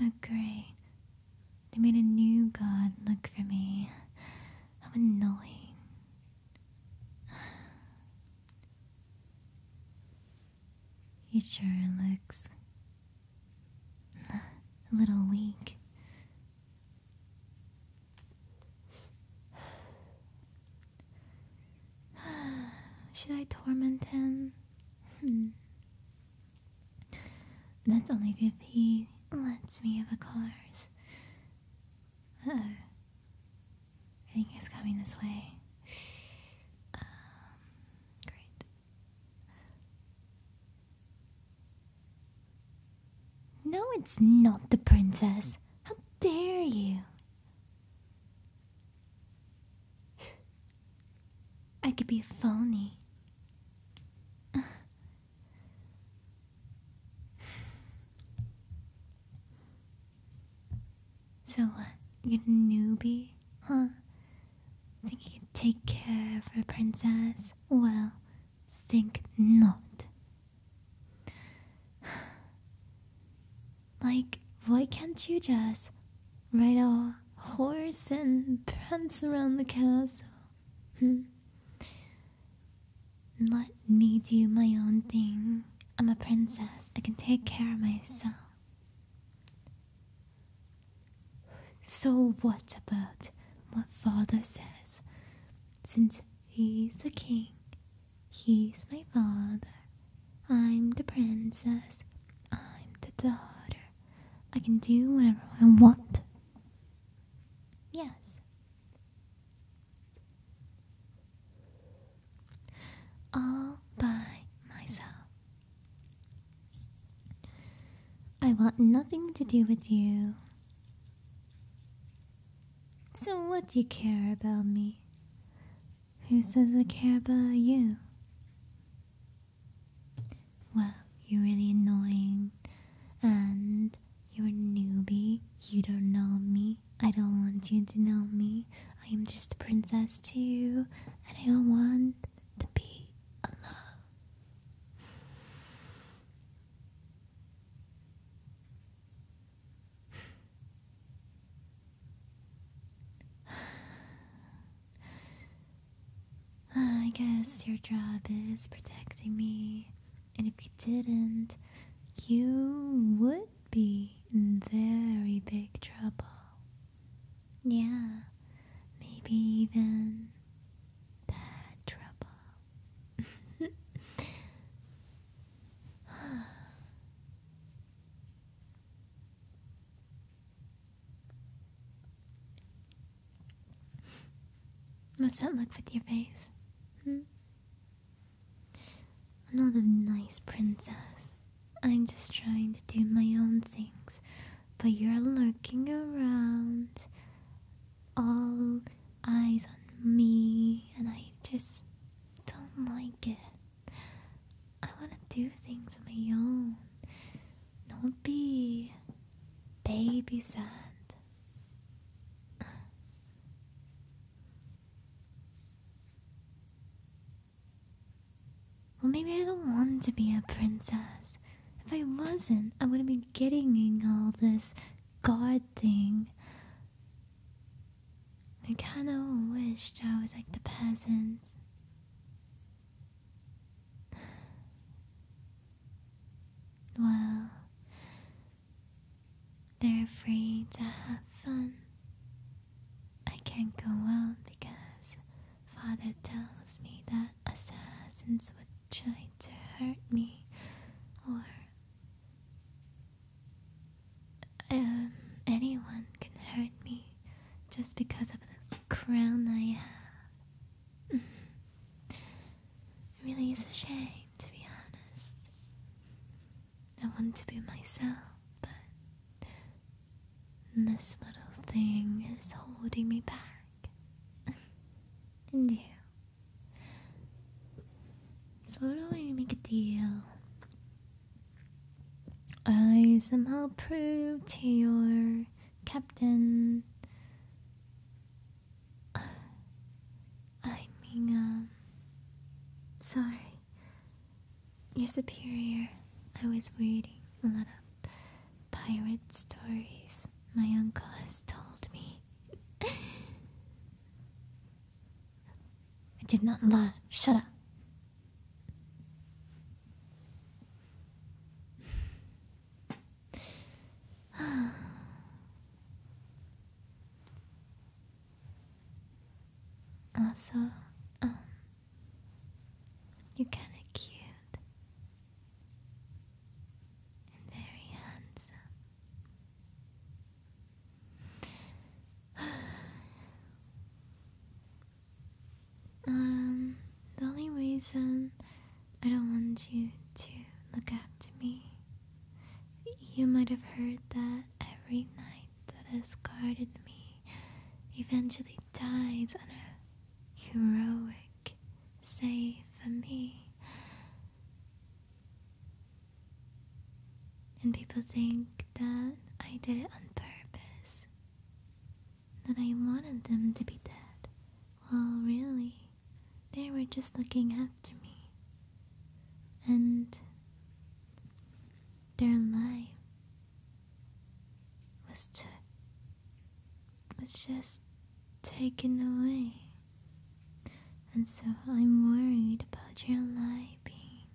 Oh, They made a new god look for me. How annoying. He sure looks a little weak. Should I torment him? Hmm. That's only if he lets me have a cars. I think he's coming this way. Um, great. No, it's not the princess. How dare you? I could be a phony. so, uh, you're a newbie, huh? Think you can take care of a princess? Well, think not. Like, why can't you just ride a horse and prance around the castle? Hmm. Let me do my own thing. I'm a princess. I can take care of myself. So, what about what father says? Since he's a king, He's my father. I'm the princess. I'm the daughter. I can do whatever I want. Yes. All by myself. I want nothing to do with you. So what do you care about me? Who says I care about you? Well, you're really annoying and you're a newbie. You don't know me. I don't want you to know me. I am just a princess to you and I don't want to be alone. I guess your job is protecting me, and if you didn't, you would be in very big trouble. Yeah, maybe even bad trouble. What's that look with your face? Hmm? not a nice princess. I'm just trying to do my own things. But you're lurking around all eyes on me, and I just don't like it. I want to do things on my own. Don't be babysat. Well, maybe I don't want to be a princess. If I wasn't, I wouldn't be getting in all this god thing. I kinda wished I was like the peasants. Well, they're free to have fun. I can't go out because father tells me that assassins would try to hurt me or um, anyone can hurt me just because of this crown I have. it really is a shame, to be honest. I want to be myself, but this little thing is holding me back. and you. So do I make a deal? I somehow prove to your captain. I mean, um, sorry. Your superior. I was reading a lot of pirate stories my uncle has told me. I did not lie. Shut up. also, um, you're kinda cute very handsome. um, the only reason I don't want you to look after me, you might have heard that every night that has guarded me eventually dies on a heroic say for me. And people think that I did it on purpose. That I wanted them to be dead. Well, really, they were just looking after me. And their life was took was just taken away. And so I'm worried about your life being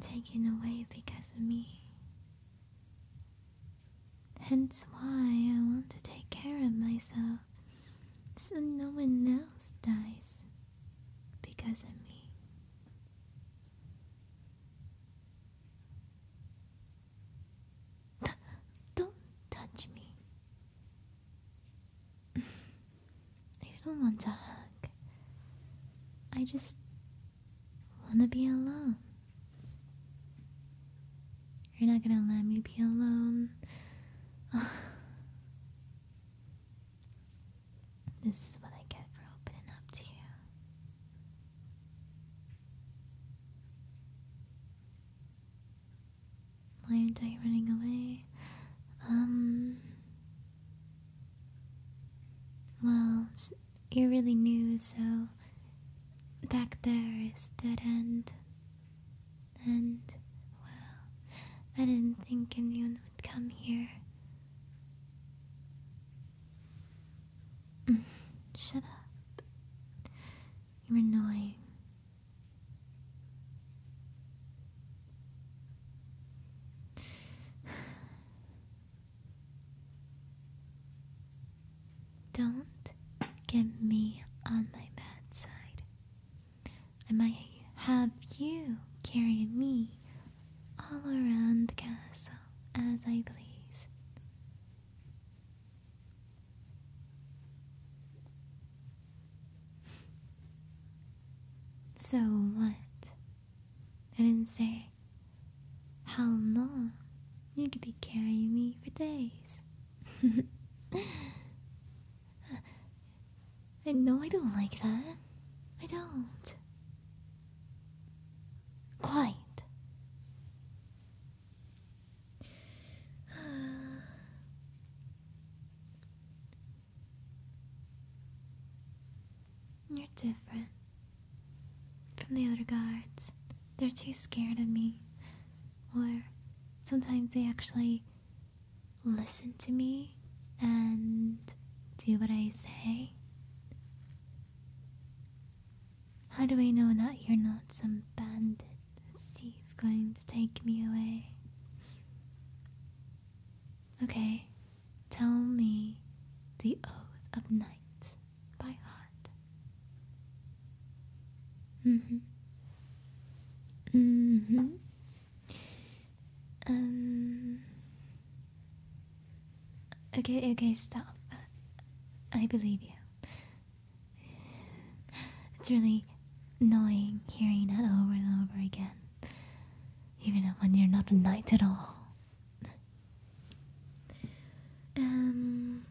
taken away because of me. Hence why I want to take care of myself so no one else dies because of me don't touch me. you don't want to hug. I just want to be alone. You're not gonna let me be alone. this is what I get for opening up to you. Why are you running away? Um. Well, you're really new, so back there is dead end. And, well, I didn't think anyone would come here. Mm. Shut up. You're annoying. Don't get me on my bad side. I might have you carrying me all around the castle as I pleased. So what? I didn't say how long. You could be carrying me for days. I know I don't like that. I don't. Quiet. You're different from the other guards. They're too scared of me. Or sometimes they actually listen to me and do what I say. How do I know that you're not some bandit thief going to take me away? Okay, tell me the Oath of Night by heart. Mm hmm. Mm hmm. Um. Okay, okay, stop. I believe you. It's really annoying hearing it over and over again. Even when you're not a knight at all. Um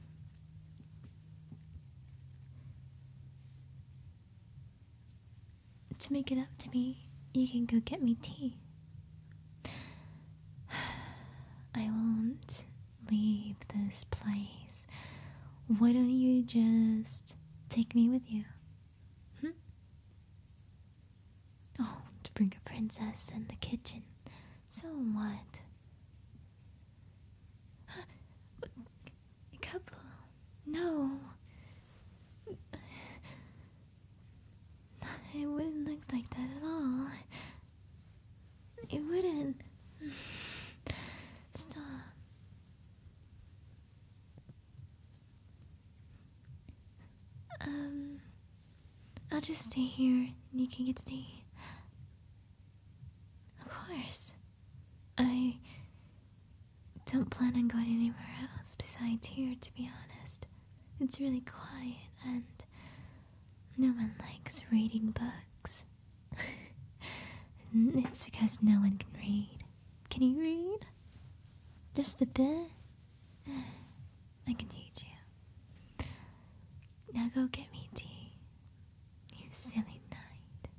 to make it up to me, you can go get me tea. I won't leave this place. Why don't you just take me with you? Hmm? Oh, to bring a princess in the kitchen. So what? A couple. No. It wouldn't look like that at all. It wouldn't. Stop. Um, I'll just stay here and you can get the. Of course. I don't plan on going anywhere else besides here, to be honest. It's really quiet and no one likes reading books. And it's because no one can read. Can you read? Just a bit? Eh, I can teach you. Now go get me tea. You silly knight.